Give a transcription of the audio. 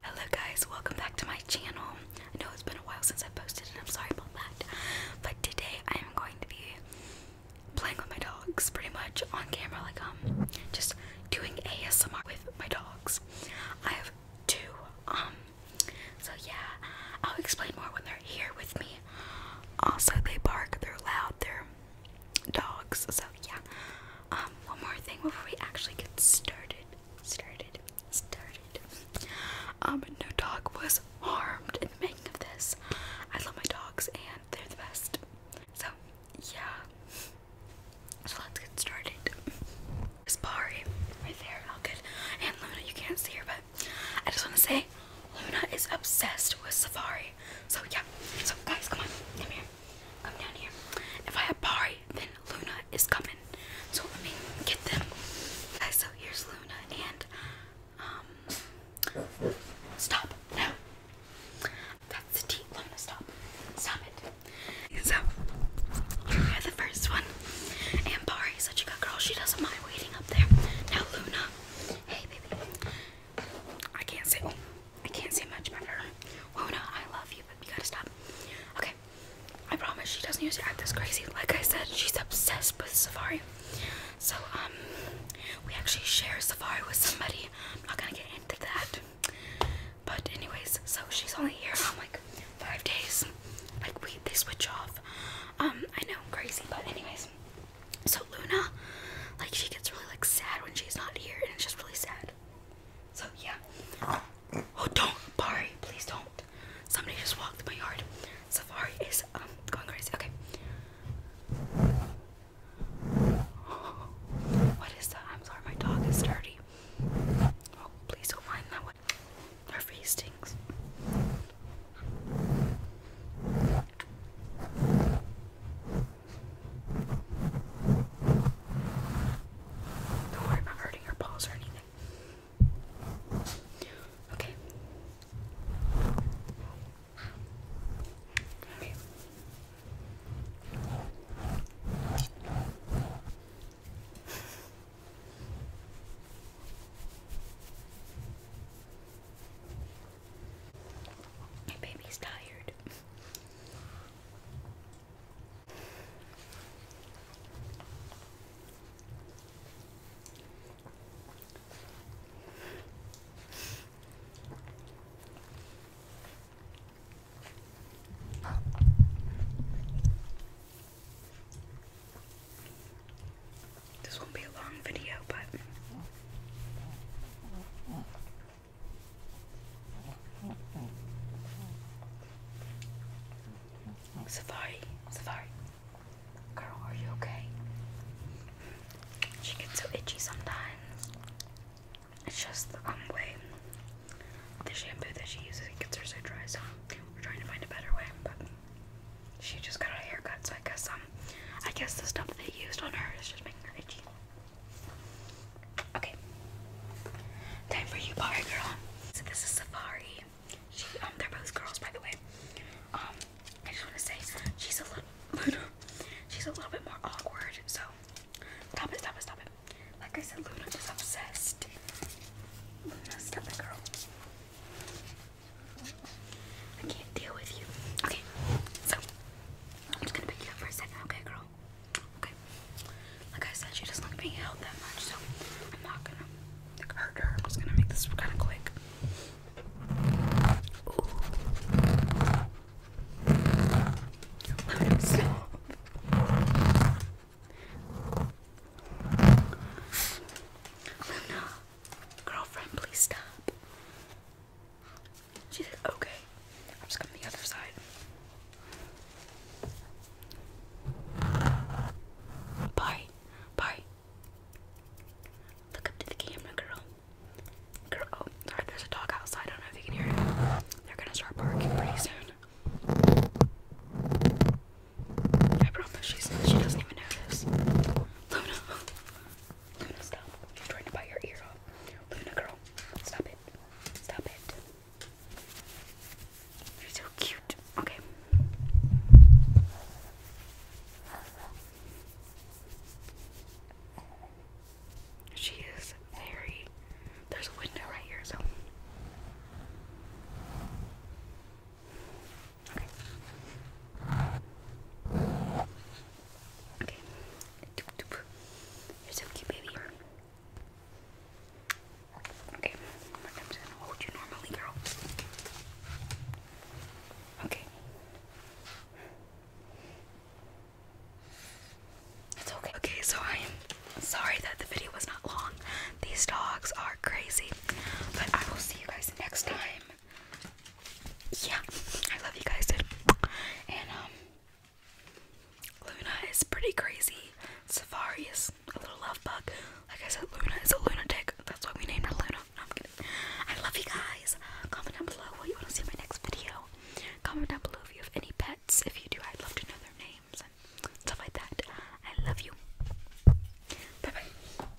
Hello guys, welcome back to my channel. I know it's been a while since I posted and I'm sorry about that. But today I am going to be playing with my dogs pretty much on camera, like um just doing ASMR with my dogs. I have two. Um so yeah, I'll explain more when they're here with me. Also they bark, they're loud, they're dogs, so yeah. Um one more thing before we actually get started started, started. Um, no dog was harmed in the making of this. I love my dogs and they're the best. So, yeah. So let's get started. Safari, right there, all good. And Luna, you can't see her, but I just want to say Luna is obsessed with Safari. So, yeah. So, guys, come on, come here. Come down here. If I have Pari, then Luna is coming. So let me get them. Okay, so here's Luna and um stop now. That's the tea. Luna, stop. Stop it. So you're the first one. And Pari is such a good girl. She doesn't mind waiting up there. Now Luna. Hey baby. I can't sit. I can't say much better, her. I love you, but we gotta stop. Okay, I promise she doesn't usually act this crazy. Like I said, she's obsessed with Safari. So, um, we actually share Safari with somebody. I'm not gonna get into that. But anyways, so she's only here on um, like five days. Like we they switch off. Um, I know, I'm crazy, but anyways. So Luna, like she gets really like sad when she's not here, and it's just really sad. So yeah. Oh don't, Bari, please don't. Somebody just walked in my yard. Safari is um, going crazy. Okay. What is that? I'm sorry, my dog is dirty. Oh, please don't mind that one. Our face stinks. Don't worry about hurting your paws or anything. Okay. Okay. baby's tired. This won't be a long video, but Safari, Safari. Girl, are you okay? She gets so itchy sometimes. It's just the um, way the shampoo that she uses it gets her so dry, so we're trying to find a better way, but she just got a haircut, so I guess um I guess the stuff they used on her is just making her itchy. Okay. Time for you, bar girl. So this is Safari. Um, they're both girls, by the way. Um, I just want to say she's a little, uh, she's a little bit more awkward. So stop it, stop it, stop it. Like I said, Luna is obsessed. Luna, stop it, girl. I can't deal with you. Okay, so I'm just gonna pick you up for a second, okay, girl? Okay. Like I said, she doesn't like being held that much, so I'm not gonna hurt her. I'm just gonna make this kind of quick. Luna, girlfriend, please stop. She okay. I'm just coming the other side. Bye. Bye. Look up to the camera, girl. Girl, oh, sorry, there's a dog outside. I don't know if you can hear it. They're gonna start barking pretty soon. I promise she doesn't even notice. Luna, oh, stop. She's trying to bite your ear off. Luna, girl, stop it. Stop it. You're so cute. Okay. She is very. There's a window right here, so. Okay. Okay. You're so cute, baby. Okay. I'm gonna hold you normally, girl. Okay. It's okay. Okay, so I am sorry that the video was not long. These dogs are crazy. But I will see you guys next time yeah, I love you guys, And um, Luna is pretty crazy. Safari is a little love bug. Like I said, Luna is a lunatic. That's why we named her Luna. I love you guys. Comment down below what you want to see in my next video. Comment down below if you have any pets. If you do, I'd love to know their names and stuff like that. I love you. Bye bye.